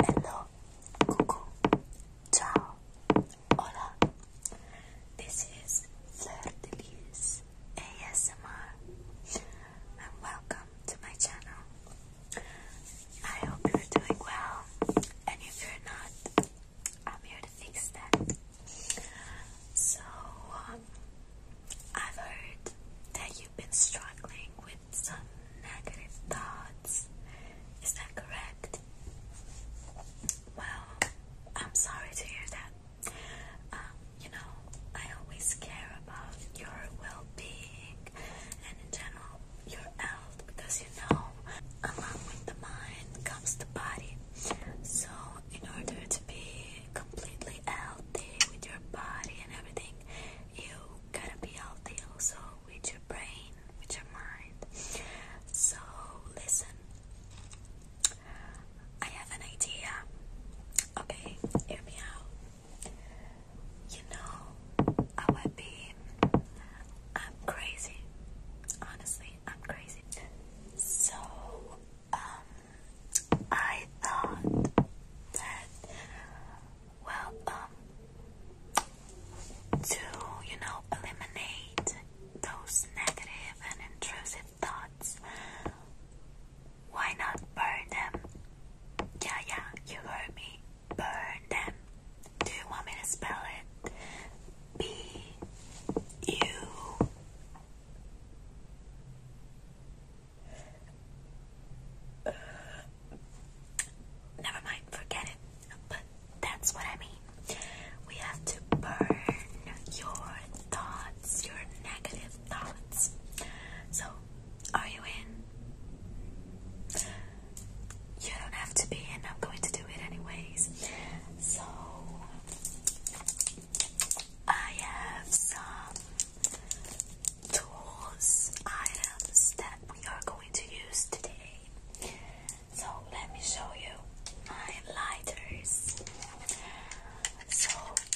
Hello, ciao, hola. This is Fleur Delise ASMR, and welcome to my channel. I hope you're doing well, and if you're not, I'm here to fix that. So, um, I've heard that you've been struggling with some negative thoughts. Is that correct? Well, I'm sorry to hear that. Um, you know, I always care about your well and, in general, your health because you know, along with the mind comes the body. So, in order to be completely healthy with your body and everything, you gotta be healthy also with your brain, which your mind. So, listen, I have an idea. Okay, hear me out. You know, I would be. I'm crazy. Honestly, I'm crazy. So, um, I thought that, well, um, to, you know, eliminate those negative and intrusive thoughts, why not burn them? Yeah, yeah, you heard me. Burn them. Do you want me to spell it? B U Never mind, forget it. But that's what I mean. We have to burn your thoughts, your negative thoughts. So, are you in? You don't have to be in, I'm going to do it anyways. So, I have some tools, items that we are going to use today. So let me show you my lighters. So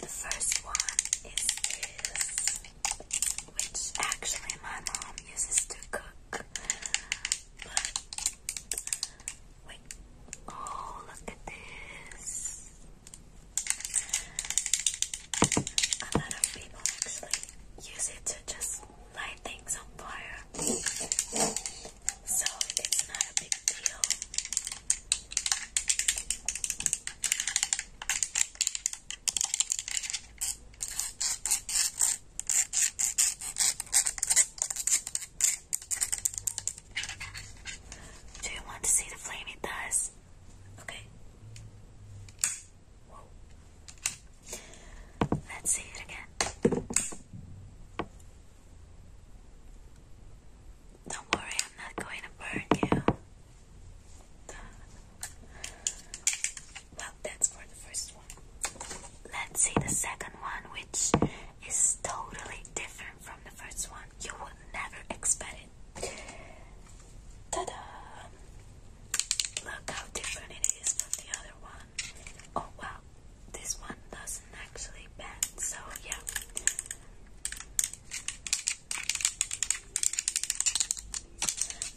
the first one is this, which actually my mom uses to cook. Wait. Oh, look at this. A lot of people actually use it to just light things on fire. So it's not a big deal. Do you want to see the flame it does? Okay. Let's see it again. Don't worry, I'm not going to burn you. Well, that's for the first one let's see the second one, which is totally different from the first one. You will never expect it. Ta da! Look how different it is from the other one. Oh wow, this one doesn't actually bend, so yeah.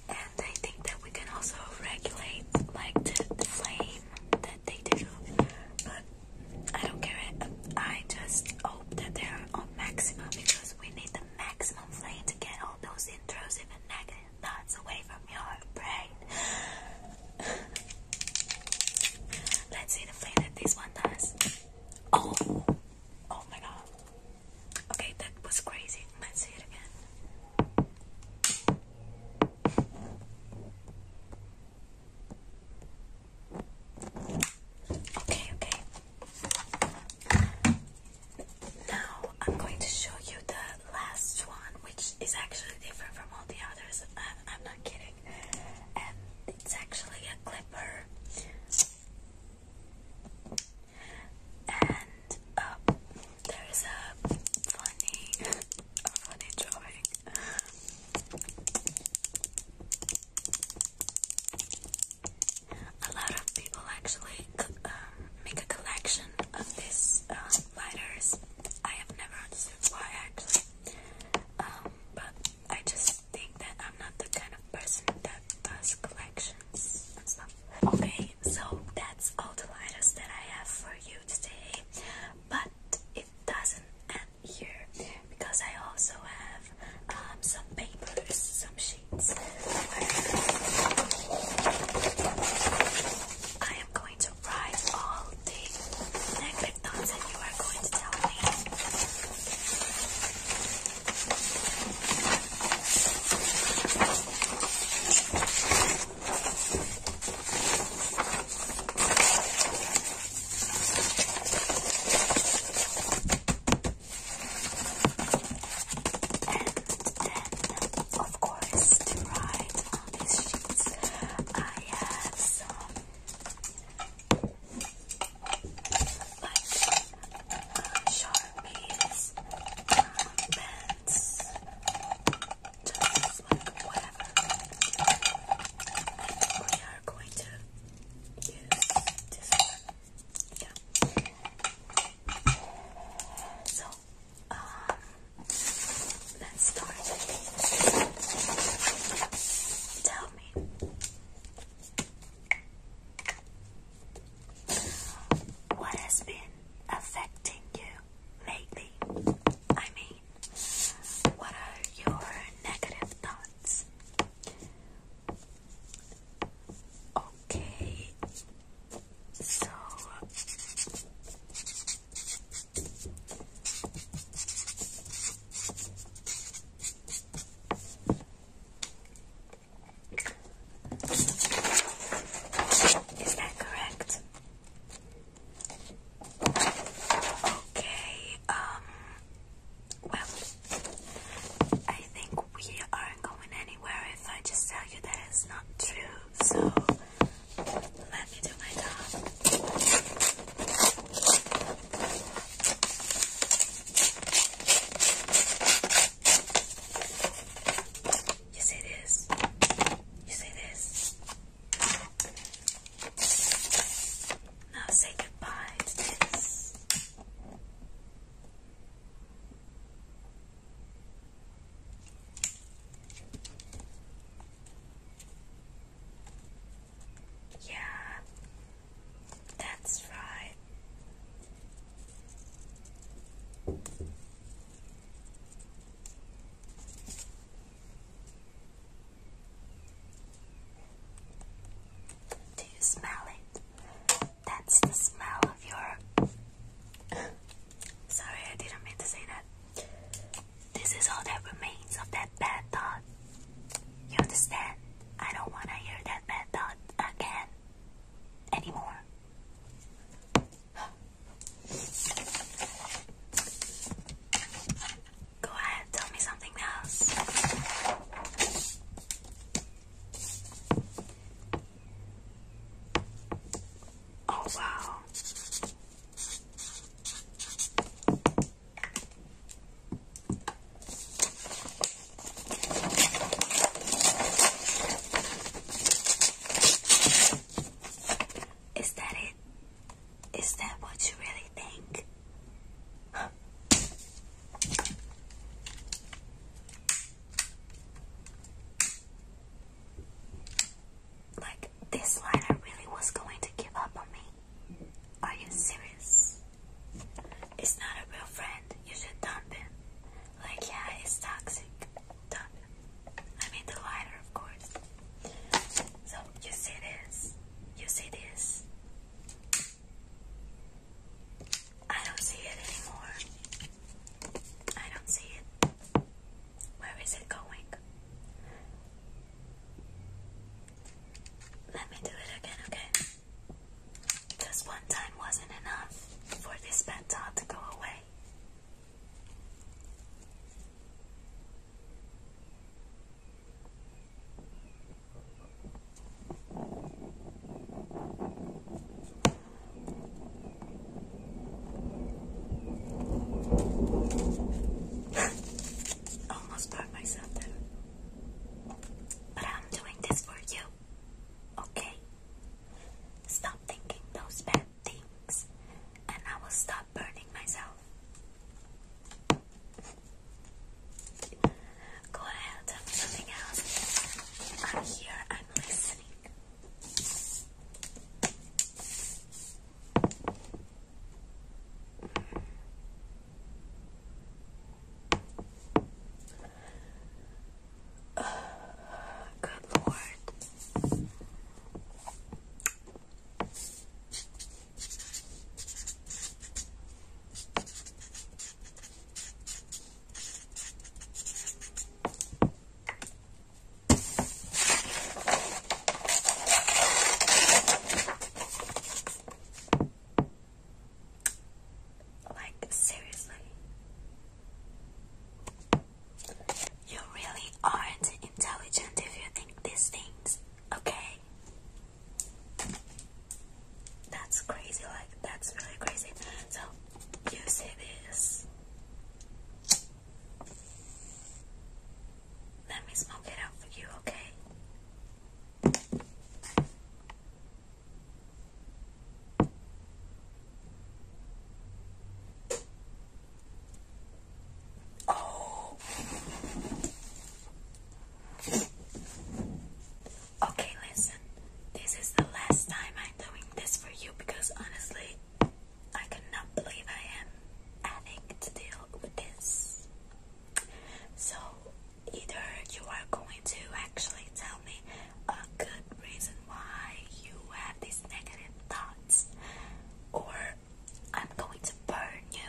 And I think that we can also regulate like the flame that they do. But I don't care. I just hope that they are on maximum because we need the maximum flame to get all those intrusive and negative thoughts away from your brain. Let's see the flame that this one does. Oh, oh my god. Okay, that was crazy. Let's see it again. Okay, okay. Now I'm going to show you the last one, which is actually different from all the others. Uh, I'm, not kidding. And it's actually a clipper. And uh, there's a funny a funny drawing. A lot of people actually um, make a collection of these lighters. Um, I have never understood why actually, um, but I just think that I'm not the kind of person that does collections and stuff. Okay, so that's all the lighters that I have for you today, but it doesn't here because I also have um, some papers, some sheets I am going to write all the negative thoughts that you are going to tell me then, of course, to write on these sheets, I have some like uh, sharpies, um, uh, pens, whatever. We are going to use Yeah. So, um, let's start. Tell me. What has been affecting you lately? I mean, what are your negative thoughts? Okay, so is that correct? Okay, um, well, I think we aren't going anywhere if I just tell you that it's not true, so let me do my job. You see this? You now say goodbye to this. Yeah, that's right. Do you smell it? That's the smell of your. Sorry, I didn't mean to say that. This is all that remains of that bad thought. You understand? I don't want to hear that bad thought again anymore. Go ahead, tell me something else. Oh, wow. Is that it? Is that what you really think? Like, this liner really was going to give up on me. Are you serious? It's not a real friend. You should dump him. Like, yeah, it's toxic. Dump I mean the lighter, of course. So you see this? You see this? I don't see it anymore. I don't see it. Where is it going? Let me do it again, okay? Just one time wasn't enough for this bad thought to go away. Almost bought myself them. But I'm doing this for you. Okay? Stop thinking those bad things, and I will stop burning myself. Go ahead, tell something else. I'm here, I'm listening. Good Lord. Like, seriously. You really aren't intelligent if you think these things, okay? That's crazy, like, that's really crazy. So, you see this. Let me smoke it out for you, okay? Oh. Okay, listen. This is the last time I'm doing this for you because honestly, I cannot believe I am having to deal with this. So, either you are going to actually tell me a good reason why you have these negative thoughts, or I'm going to burn you.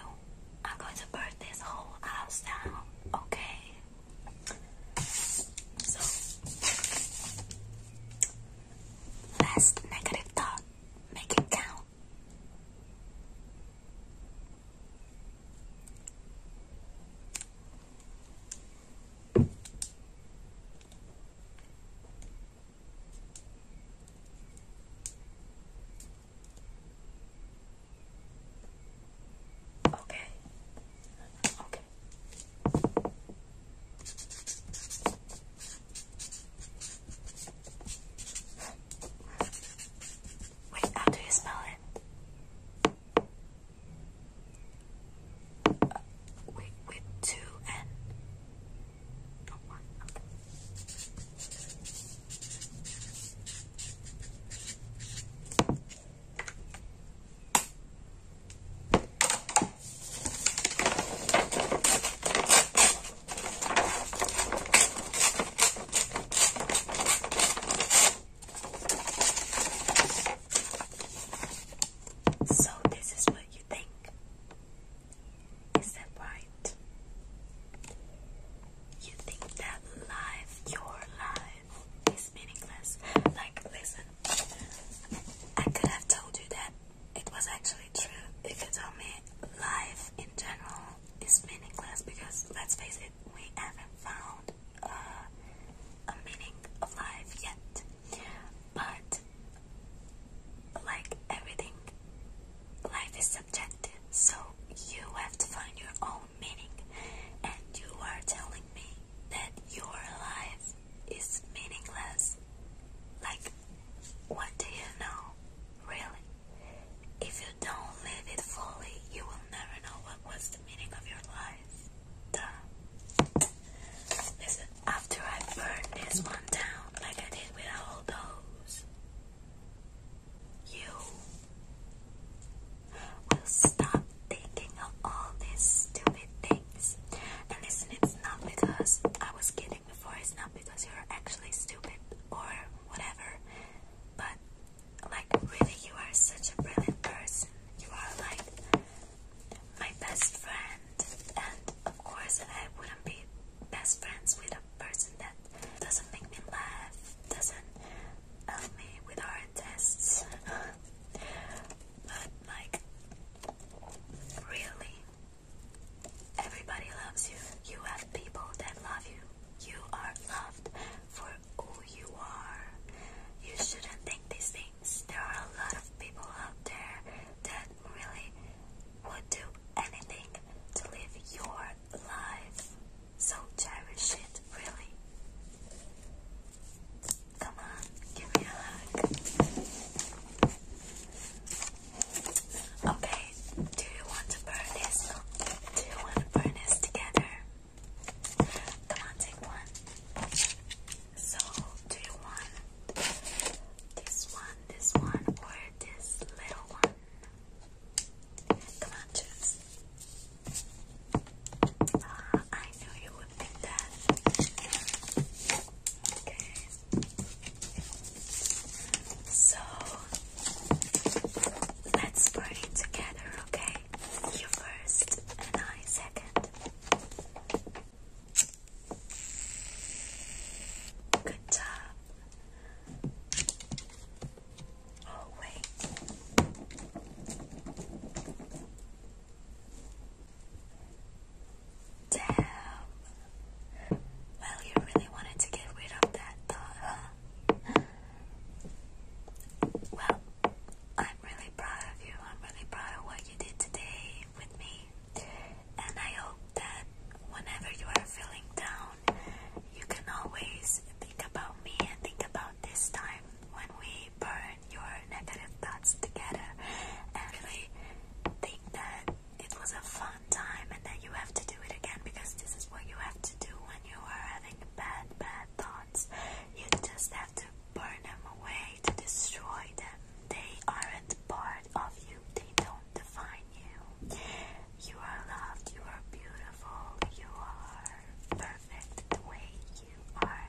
I'm going to burn this whole house down, okay? So, last negative thought, make it count. Okay. Okay. Wait, how do you smell it? Uh, wait, with two N. So, this is what you think. Is that right? You think that life, your life, is meaningless? Like, listen, I could have told you that it was actually true if you tell me life in general is meaningless because, let's face it, we haven't found uh, a meaning of life yet. But like everything, life is subjective, so you have to find your own meaning. And you are telling me that your life is meaningless. Like, what do you know, really? If you don't live it fully, you will never know what was the meaning of your life. Duh. Listen, after I burn this one down like I did with all those, you will stop thinking of all these stupid things. And listen, it's not because I was kidding before, it's not because you're actually stupid or whatever, but like, really, you are such a brilliant person. You are like my best friend, and of course, I wouldn't be best friends with a person that doesn't make me laugh, doesn't help me with our tests. but, like, really, everybody loves you. You have people that love you. You are loved for who you are. You shouldn't think these things. There are a lot of people out there that really would do anything to live your life. So cherish it, really. Come on, give me a hug. Okay, do you want to burn this? Do you want to burn this together? Come on, take one. So, do you want this one, this one, or this little one. Come on, choose. Ah, I knew you would pick that. Okay. So, let's burn together, okay? You first, and I second. Good job. Oh, wait. Damn. Well, you really wanted to get rid of that huh? Well, I'm really proud of you. I'm really proud of what you did today with me. And I hope that whenever you are feeling down, you can always think about me and think about this time when we burn your negative thoughts together and really think that it was a fun time and that you have to do it again because this is what you have to do when you are having bad, bad thoughts. You just have to burn them away to destroy them. They aren't part of you, they don't define you. You are loved, you are beautiful, you are perfect the way you are,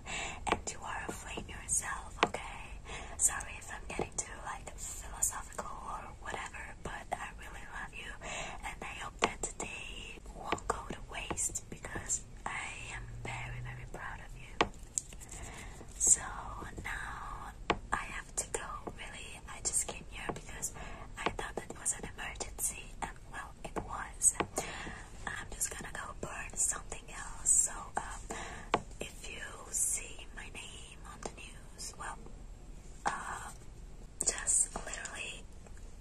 and you are afraid of yourself, okay? Sorry if I'm getting too like philosophical or whatever, but I really love you, and I hope that today won't go to waste because I am very, very proud of you. So now I have to go. Really, I just came here because I thought that it was an emergency, and well, it was. I'm just gonna go burn something else. So, um, if you see my name on the news, well, uh, just literally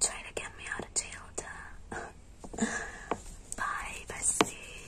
try to get me out of jail. Duh. Bye,